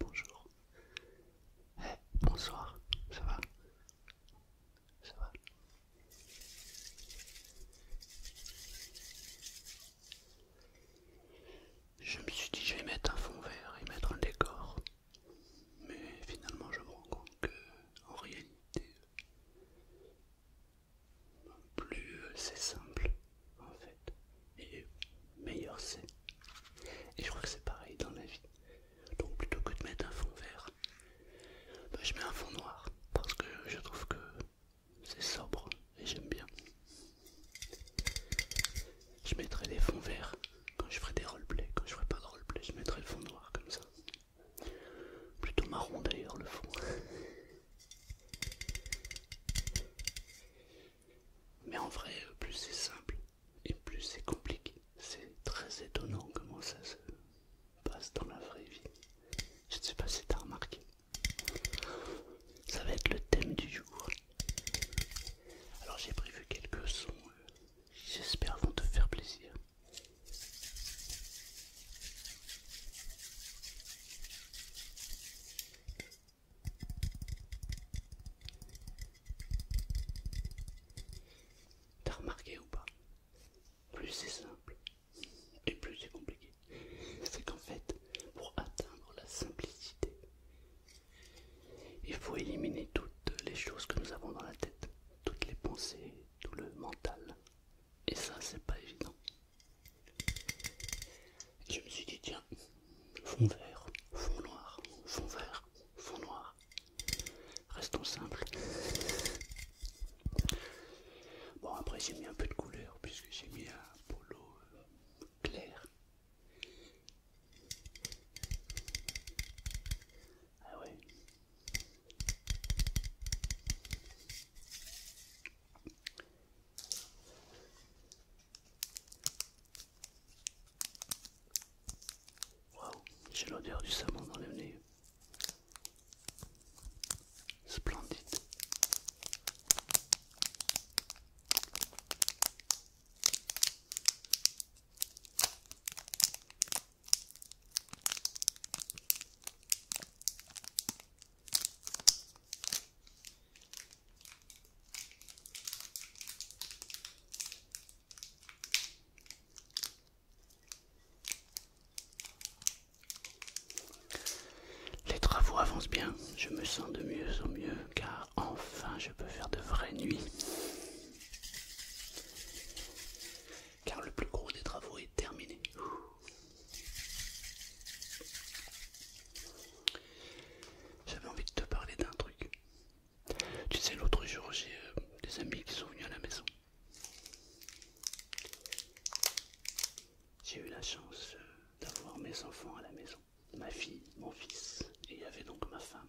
bonjour. bonsoir. Ça va Ça va Je me suis dit je vais mettre un fond vert et mettre un décor. Mais finalement je me rends compte que en réalité plus euh, c'est simple en fait, et meilleur c'est. Et je crois que c'est pareil dans la vie. Donc plutôt que de mettre un fond vert, bah, je mets un fond noir parce que je trouve que c'est sobre et j'aime bien. Je mettrai les fonds verts quand je ferai des roleplays. Quand je ferai pas de roleplay, je mettrai le fond noir comme ça. Plutôt marron d'ailleurs le fond. Mais en vrai, plus c'est simple et plus c'est compliqué. C'est très étonnant comment ça se passe dans la vraie vie. Je ne sais pas si tu as remarqué. Ça va être le thème du jour. Alors j'ai prévu quelques sons, euh, j'espère vont te faire plaisir. T'as remarqué ou pas Plus c'est simple et plus c'est compliqué. C'est qu'en fait, pour atteindre la simplicité, il faut éliminer toutes les choses que nous avons dans la tête, toutes les pensées, tout le mental. Et ça, c'est pas évident. je me suis dit, tiens, fond vert, fond noir, fond vert, fond noir. Restons simple Bon, après, j'ai mis un peu de couleur puisque j'ai mis un polo euh, clair. Ah ouais, j'ai l'odeur du savon dans le nez. Splendide. Les travaux avancent bien, je me sens de mieux en mieux car enfin je peux faire de vraies nuits car le plus gros des travaux est terminé. J'avais envie de te parler d'un truc. Tu sais, l'autre jour, j'ai euh, des amis qui sont venus à la maison. J'ai eu la chance euh, d'avoir mes enfants à la maison, ma fille, mon fils, et il y avait donc ma femme.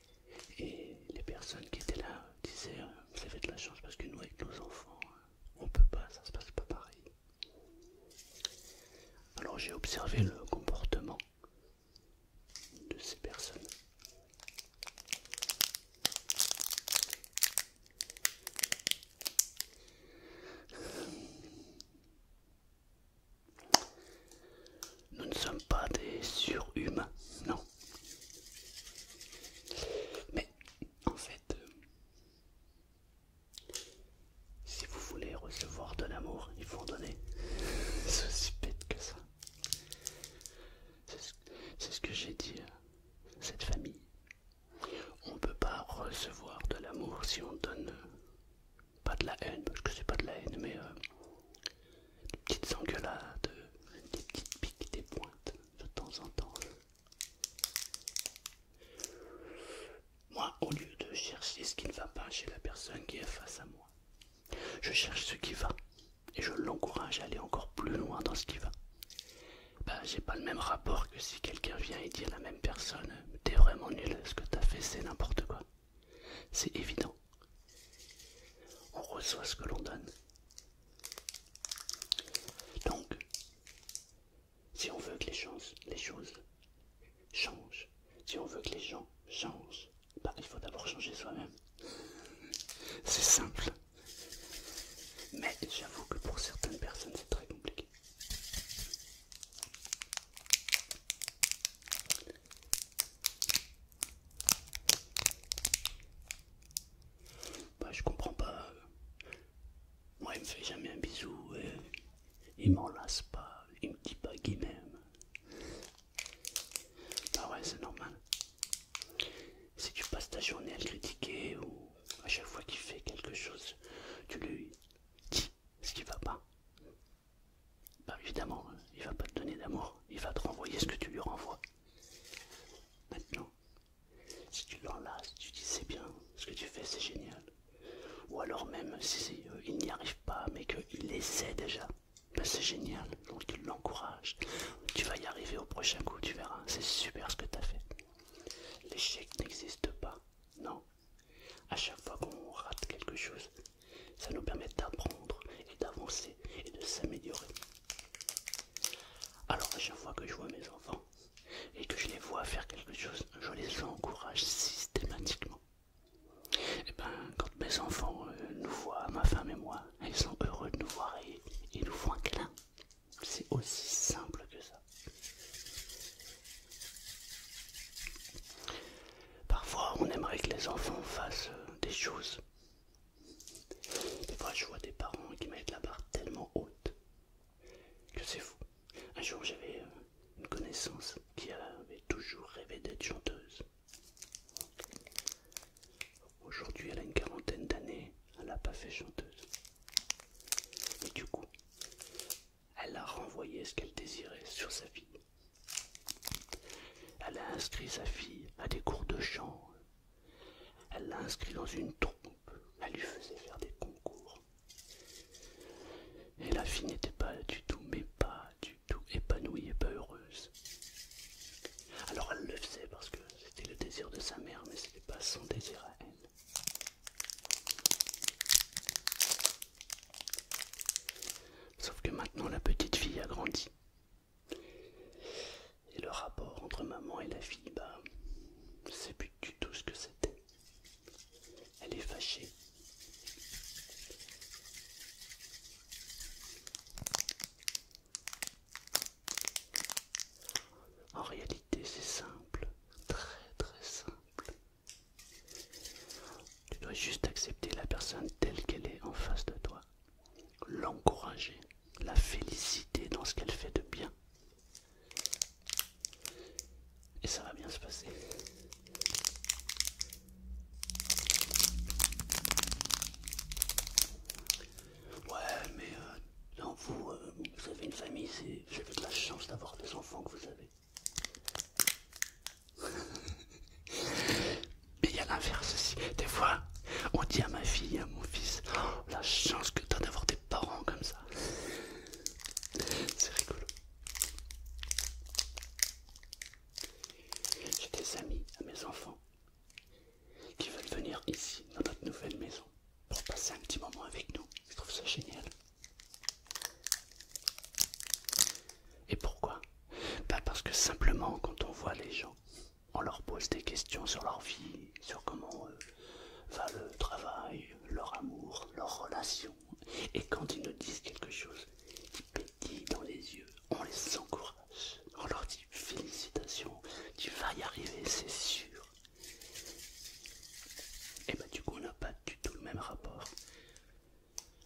Et les personnes qui étaient là disaient Vous avez de la chance parce que nous, avec nos enfants, on peut pas, ça se passe pas pareil. Alors j'ai observé le comportement de ces personnes. Nous ne sommes pas des surhumains, non. Mais en fait, euh, si vous voulez recevoir de l'amour, il faut en donner. C'est aussi bête que ça. C'est ce que j'ai dit à cette famille. On ne peut pas recevoir de l'amour si on donne euh, pas de la haine, parce que c'est pas de la haine, mais euh, des petites engueulades, des petites piques, des pointes de temps en temps. Moi, au lieu de chercher ce qui ne va pas chez la personne qui est face à moi, je cherche ce qui va et je l'encourage à aller encore plus loin dans ce qui va. Ben, j'ai pas le même rapport que si quelqu'un vient et dit à la même personne T'es vraiment nul, ce que t'as fait c'est n'importe quoi. C'est évident. On reçoit ce que l'on donne. Donc, si on veut que les choses, changent, si on veut que les gens changent, bah, il faut d'abord changer soi-même. C'est simple. Mais j'avoue que pour certaines personnes, c'est très compliqué. Bah, je comprends pas. Moi, il me fait jamais un bisou et il m'enlace pas, il me dit pas qu'il m'aime. Bah ouais, c'est normal. Si tu passes ta journée à le critiquer ou à chaque fois qu'il fait quelque chose, tu lui dis ce qui va pas, bah évidemment, il va pas te donner d'amour, il va te renvoyer ce que tu lui renvoies. Maintenant, si tu l'enlaces, tu dis c'est bien, ce que tu fais c'est génial. Ou alors même si euh, il n'y arrive pas, mais qu'il essaie déjà, bah c'est génial, donc il l'encourage. Tu vas y arriver au prochain coup, tu verras, c'est super ce que tu as fait. L'échec n'existe pas, non. À chaque fois qu'on rate quelque chose, ça nous permet d'apprendre et d'avancer et de s'améliorer. Alors à chaque fois que je vois mes enfants et que je les vois faire quelque chose, je les encourage systématiquement. Et eh ben quand mes enfants euh, nous voient, ma femme et moi, ils sont heureux de nous voir et ils nous font un clin. C'est aussi simple que ça. Parfois, on aimerait que les enfants fassent euh, des choses. Des fois, je vois des parents qui mettent la barre tellement haute que c'est fou. Un jour, j'avais euh, une connaissance qui avait toujours rêvé d'être chanteuse. Aujourd'hui, elle a une quarantaine d'années, elle n'a pas fait chanteuse. Et du coup, elle a renvoyé ce qu'elle désirait sur sa vie. Elle a inscrit sa fille à des cours de chant. Elle l'a inscrit dans une troupe. Elle lui faisait faire des concours. Et la fille n'était pas du tout, mais pas du tout épanouie et pas heureuse. Alors elle le faisait parce que c'était le désir de sa mère, mais ce n'était pas son désir à elle. Sauf que maintenant la petite fille a grandi. Et le rapport entre maman et la fille, bah, c'est plus du tout ce que c'était. Elle est fâchée. En réalité, c'est simple, très très simple. Tu dois juste accepter la personne telle qu'elle est en face de toi, l'encourager, la féliciter dans ce qu'elle fait de bien. Et ça va bien se passer. Ouais, mais euh, dans vous, euh, vous avez une famille, c'est de la chance d'avoir des enfants que vous avez. Mais il y a l'inverse aussi. Des fois, on dit à ma fille, à mon fils, oh, la chance que t'as d'avoir des parents comme ça. C'est rigolo. J'ai des amis à mes enfants qui veulent venir ici, dans notre nouvelle maison, pour passer un petit moment avec nous. Je trouve ça génial. Et pourquoi pas parce que simplement quand on voit les gens, on leur pose des questions sur leur vie, sur comment euh, va le travail, leur amour, leur relation. Et quand ils nous disent quelque chose qui pétille dans les yeux, on les encourage. On leur dit félicitations, tu vas y arriver, c'est sûr. Et bah du coup on n'a pas du tout le même rapport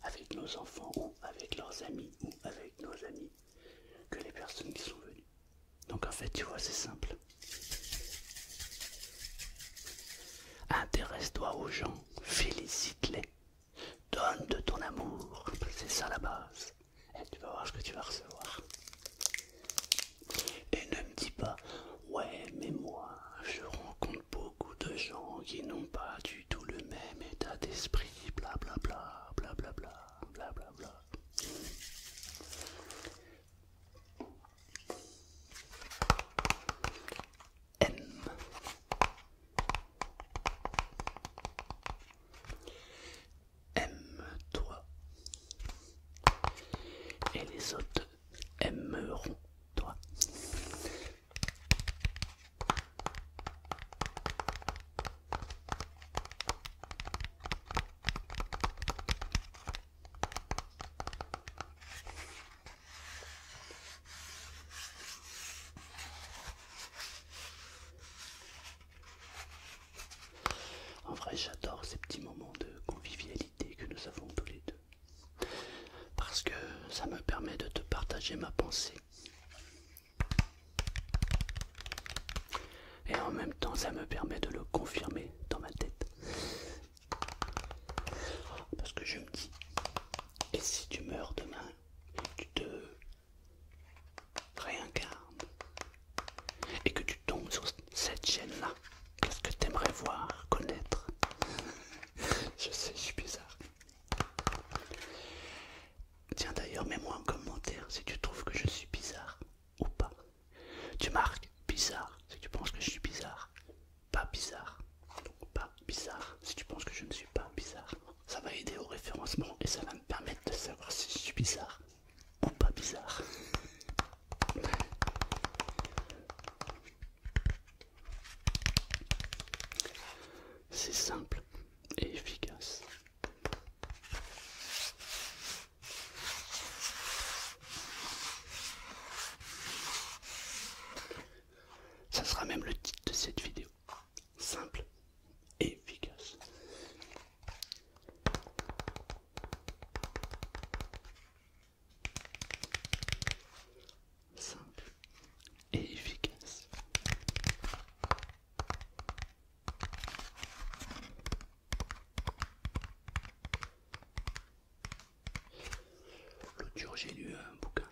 avec nos enfants ou avec leurs amis ou avec nos amis que les personnes qui sont venues. Donc en fait, tu vois, c'est simple. Intéresse-toi aux gens, félicite-les, donne de ton amour, c'est ça la base. Et tu vas voir ce que tu vas recevoir. Et ne me dis pas, ouais, mais moi, je rencontre beaucoup de gens qui n'ont pas du tout le même état d'esprit, bla bla bla Bla, bla. M. Aime-toi. Et les autres aimeront toi. En vrai, j'adore ces petits moments de convivialité que nous avons tous les deux. Parce que ça me permet de te partager ma pensée et en même temps, ça me permet de le confirmer dans ma tête. Parce que je me dis, et si tu meurs demain, et tu te réincarnes, et que tu tombes sur cette chaîne-là, qu'est-ce que t'aimerais voir, connaître Je sais, je suis bizarre. Tiens d'ailleurs, mets-moi un commentaire si tu trouves que je suis bizarre ou pas. Tu marques bizarre si tu penses que je suis bizarre, pas bizarre. pas bizarre si tu penses que je ne suis pas bizarre. Ça va aider au référencement et ça va me permettre de savoir si je suis bizarre ou pas bizarre. C'est simple et efficace. Ça sera même le titre de cette vidéo. Simple et efficace simple et efficace. L'autre j'ai lu un bouquin.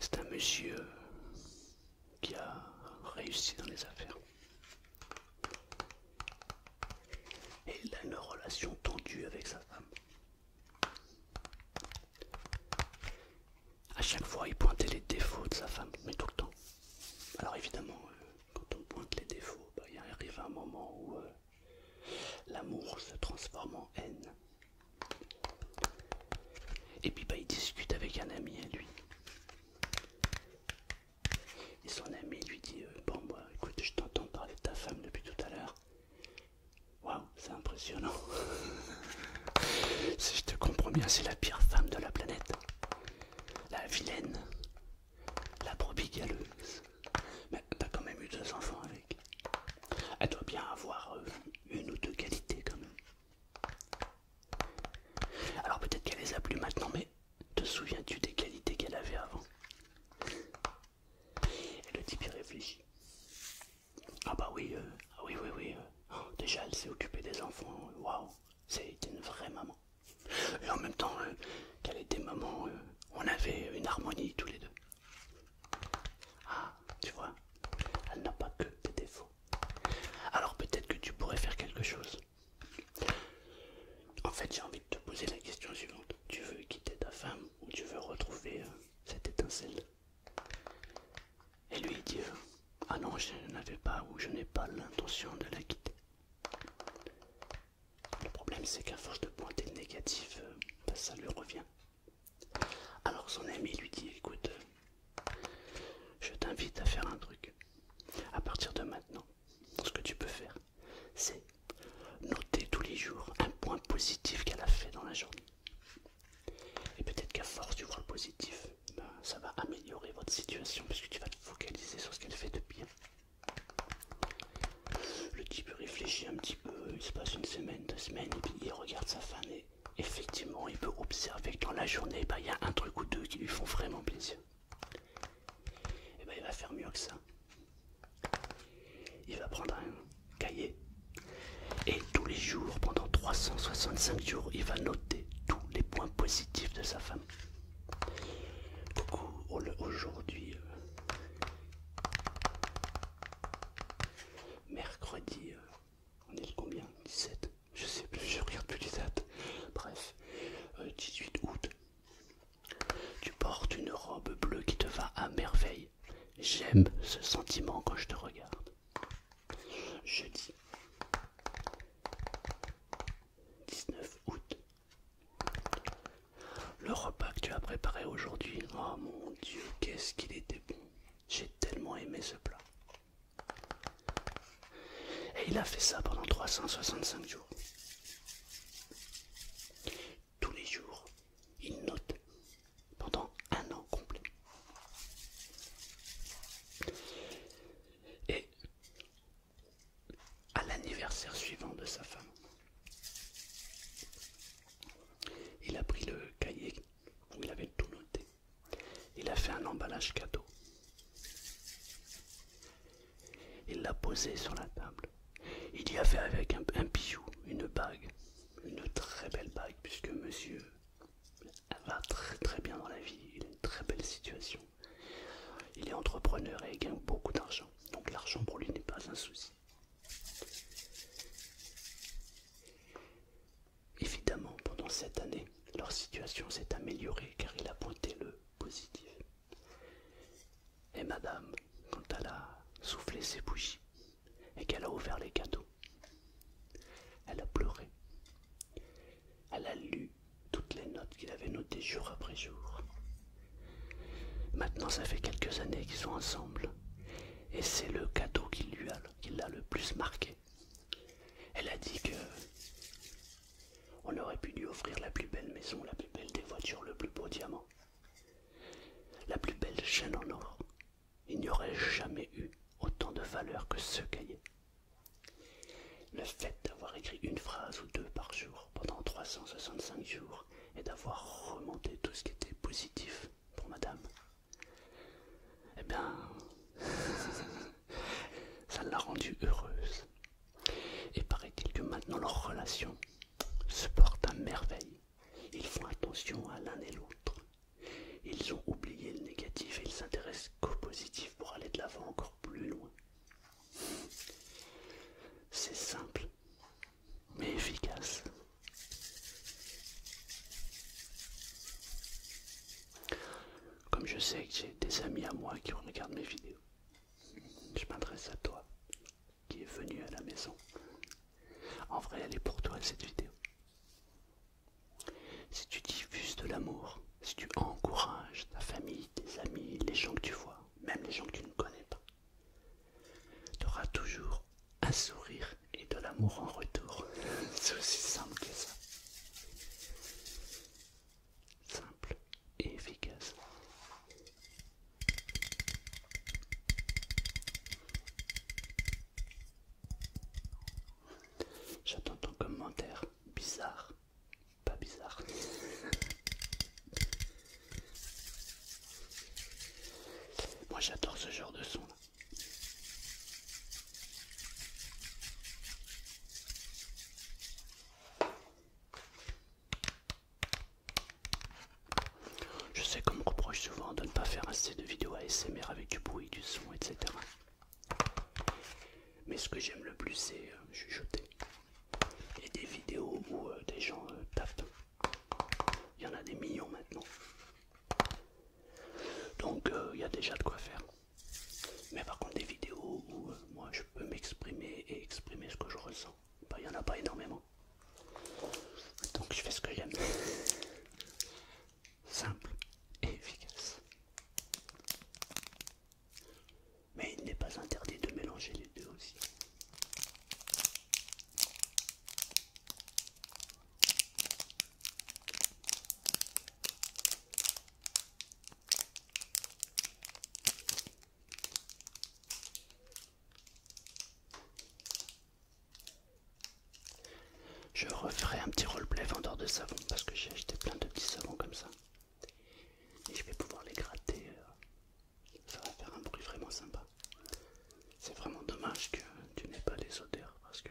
C'est un monsieur qui a réussi dans les affaires. Et il a une relation tendue avec sa femme. À chaque fois, il pointait les défauts de sa femme, mais tout le temps. Alors évidemment, euh, quand on pointe les défauts, bah, il arrive un moment où euh, l'amour se transforme en haine. Et puis bah, il discute avec un ami à lui. Et son ami lui dit euh, Bon, moi écoute, je t'entends parler de ta femme depuis tout à l'heure. Waouh, c'est impressionnant. si je te comprends bien, c'est la pire femme de la planète. La vilaine. La probigaleuse. Mais t'as quand même eu deux enfants avec. Elle doit bien avoir euh, une ou deux qualités quand même. Alors peut-être qu'elle les a plus maintenant, mais te souviens-tu des qualités qu'elle avait avant et le type y réfléchit. Ah bah oui, euh, ah oui, oui, oui. Euh. Oh, déjà elle s'est occupée des enfants, euh, waouh, c'est une vraie maman. Et en même temps qu'elle était maman, on avait une harmonie tous les deux. Ah, tu vois, elle n'a pas que des défauts. Alors peut-être que tu pourrais faire quelque chose. En fait, j'ai envie de te poser la question suivante tu veux quitter ta femme ou tu veux retrouver euh, cette étincelle. Et lui dit euh, Ah non, je n'avais pas ou je n'ai pas l'intention de la quitter. Le problème, c'est qu'à force de pointer le négatif, euh, ben, ça lui revient. Alors son ami lui dit Écoute, je t'invite à faire un truc. À partir de maintenant, ce que tu peux faire, c'est noter tous les jours un point positif qu'elle a fait dans la journée. Et peut-être qu'à force de voir le positif, ben, ça va améliorer votre situation puisque tu vas te focaliser sur ce qu'elle fait de bien. Le type réfléchit un petit peu, il se passe une semaine, deux semaines, et puis il regarde sa femme et effectivement il peut observer que dans la journée, ben, il y a un truc ou deux qui lui font vraiment plaisir. Et eh bien il va faire mieux que ça. Il va prendre un cahier et tous les jours, pendant 365 jours, il va noter tous les points positifs de sa femme. aujourd'hui, euh, mercredi, euh, on est combien 17 Je sais plus, je regarde plus les dates. Bref, 18 euh, août. Tu portes une robe bleue qui te va à merveille. J'aime ce sentiment quand je te regarde. Jeudi 19 août. Le repas que tu as préparé aujourd'hui, oh mon dieu, qu'est-ce qu'il était bon! J'ai tellement aimé ce plat. Et il a fait ça pendant 365 jours tous les jours. Il note pendant un an complet. Et à l'anniversaire suivant de sa femme, il a pris le cahier où il avait tout noté. Il a fait un emballage cadeau. Il l'a posé sur la table. Il y a fait avec un, bijou, une bague, une très belle bague, puisque monsieur va très très bien dans la vie, il a une très belle situation. Il est entrepreneur et il gagne beaucoup d'argent, donc l'argent pour lui n'est pas un souci. Évidemment, pendant cette année, leur situation s'est améliorée car il a pointé le positif. Et madame, quand elle a soufflé ses bougies et qu'elle a ouvert les cadeaux, elle a pleuré. Elle a lu toutes les notes qu'il avait notées jour après jour. Maintenant, ça fait quelques années qu'ils sont ensemble. Et c'est le cadeau qui lui a, l'a le plus marqué. Elle a dit que on aurait pu lui offrir la plus belle maison, la plus belle des voitures, le plus beau diamant. La plus belle chaîne en or. Il n'y aurait jamais eu autant de valeur que ce cahier. Le fait d'avoir écrit une phrase ou deux par jour pendant 365 jours et d'avoir remonté tout ce qui était positif pour madame, eh bien, ça l'a rendue heureuse. Et paraît-il que maintenant leur relation se porte à merveille. Ils font attention à l'un et l'autre. Ils ont oublié le négatif et ils s'intéressent qu'au positif pour aller de l'avant encore plus loin. C'est simple, mais efficace. Comme je sais que j'ai des amis à moi qui regardent mes vidéos, je m'adresse à toi qui est venu à la maison. En vrai, elle est pour toi cette vidéo. Si tu diffuses de l'amour, si tu encourages ta famille, tes amis, les gens que tu vois, même les gens que tu ne connais pas, tu auras toujours un sourire et de l'amour en retour. C'est aussi simple que ça. Simple et efficace. J'attends ton commentaire bizarre, pas bizarre. Moi j'adore ce genre de son. Je sais qu'on me reproche souvent de ne pas faire assez de vidéos ASMR avec du bruit, du son, etc. Mais ce que j'aime le plus, c'est euh, chuchoter. Et des vidéos où euh, des gens euh, tapent. Il y en a des millions maintenant. Donc il y a déjà de quoi faire. Mais par contre des vidéos où moi je peux m'exprimer et exprimer ce que je ressens. Bah, il n'y en a pas énormément. Donc je fais ce que j'aime. Simple et efficace. Mais il n'est pas interdit de mélanger les deux aussi. Je referai un petit roleplay vendeur de savon parce que j'ai acheté plein de petits savons comme ça. Et je vais pouvoir les gratter. Euh, ça va faire un bruit vraiment sympa. C'est vraiment dommage que tu n'aies pas les odeurs parce que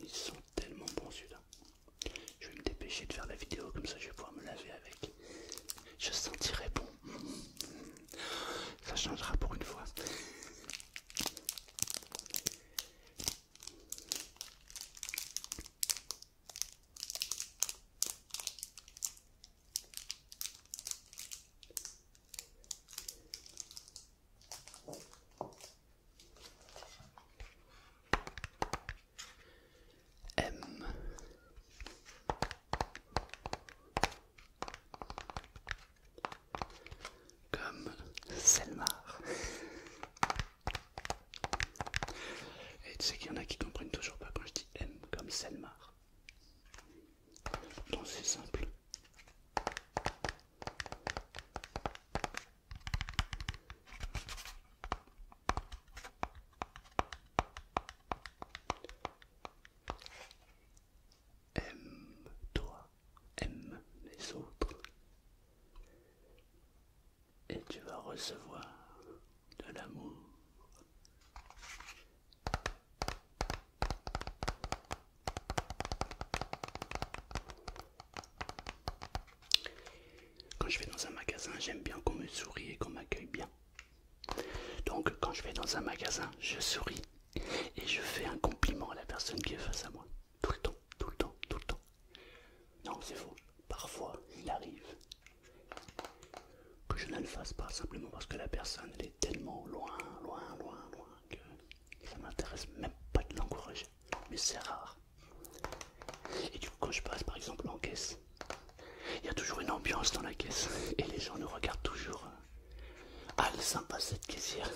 ils sont tellement bons là Je vais me dépêcher de faire la vidéo comme ça je vais pouvoir me laver avec. Je sentirai bon. Ça changera pour une fois. M comme Selmar. Et tu sais qu'il y en a qui comprennent toujours pas quand je dis M comme Selmar. Donc c'est simple. Aime-toi, aime les autres. Et tu vas recevoir de l'amour. Quand je vais dans un magasin, j'aime bien qu'on me sourie et qu'on m'accueille bien. Donc quand je vais dans un magasin, je souris et je fais un compliment à la personne qui est face à moi. Tout le temps, tout le temps, tout le temps. Non, c'est faux. Parfois, il arrive que je ne le fasse pas simplement parce que la personne est tellement loin, loin, loin, loin que ça m'intéresse même pas de l'encourager. Mais c'est rare. Et du coup, quand je passe par exemple en caisse, il y a toujours une ambiance dans la caisse et les gens nous regardent toujours. Ah, elle est sympa cette caissière.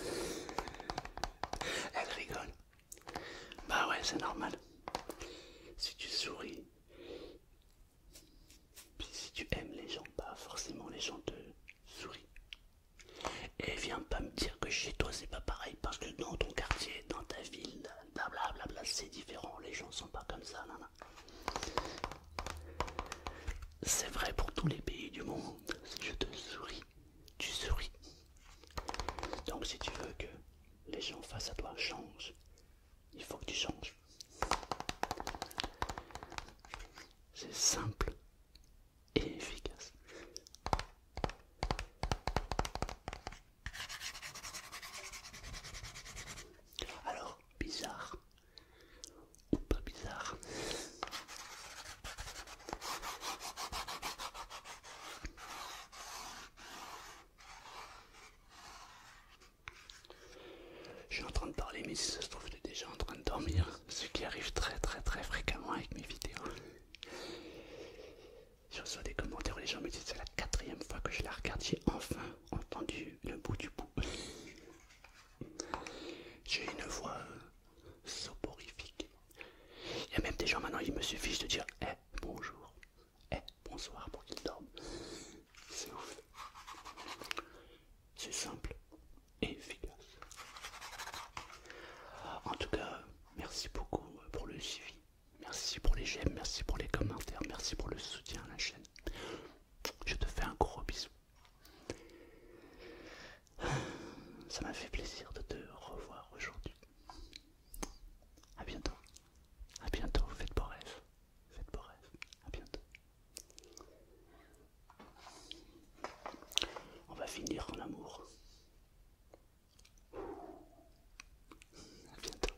Elle rigole. Bah ouais, c'est normal. Si tu souris, si tu aimes les gens, pas bah forcément les gens te sourient. Et viens pas me dire que chez toi c'est pas pareil parce que dans ton quartier, dans ta ville, blablabla, c'est différent. Les gens sont pas comme ça, c'est vrai pour tous les pays du monde. je te souris, tu souris. Donc si tu veux que les gens face à toi changent, il faut que tu changes. C'est simple et efficace. Alors, bizarre, pas bizarre. Je suis en train de parler, mais si ça se trouve, tu es déjà en train de dormir, ce qui arrive très très très fréquemment avec mes vidéos. Je reçois des commentaires où les gens me disent que c'est la quatrième fois que je la regarde, j'ai enfin entendu le bout du bout. J'ai une voix soporifique. Il y a même des gens maintenant, il me suffit de dire eh, bonjour, eh, bonsoir pour qu'ils dorment. C'est C'est simple et efficace. En tout cas, merci beaucoup pour le suivi. Merci pour les j'aime, merci pour les commentaires, merci pour le soutien à la chaîne. Je te fais un gros bisou. Ça m'a fait plaisir de te revoir aujourd'hui. à bientôt. A bientôt. Faites vos rêve. Faites rêve. A bientôt. On va finir en amour. A bientôt.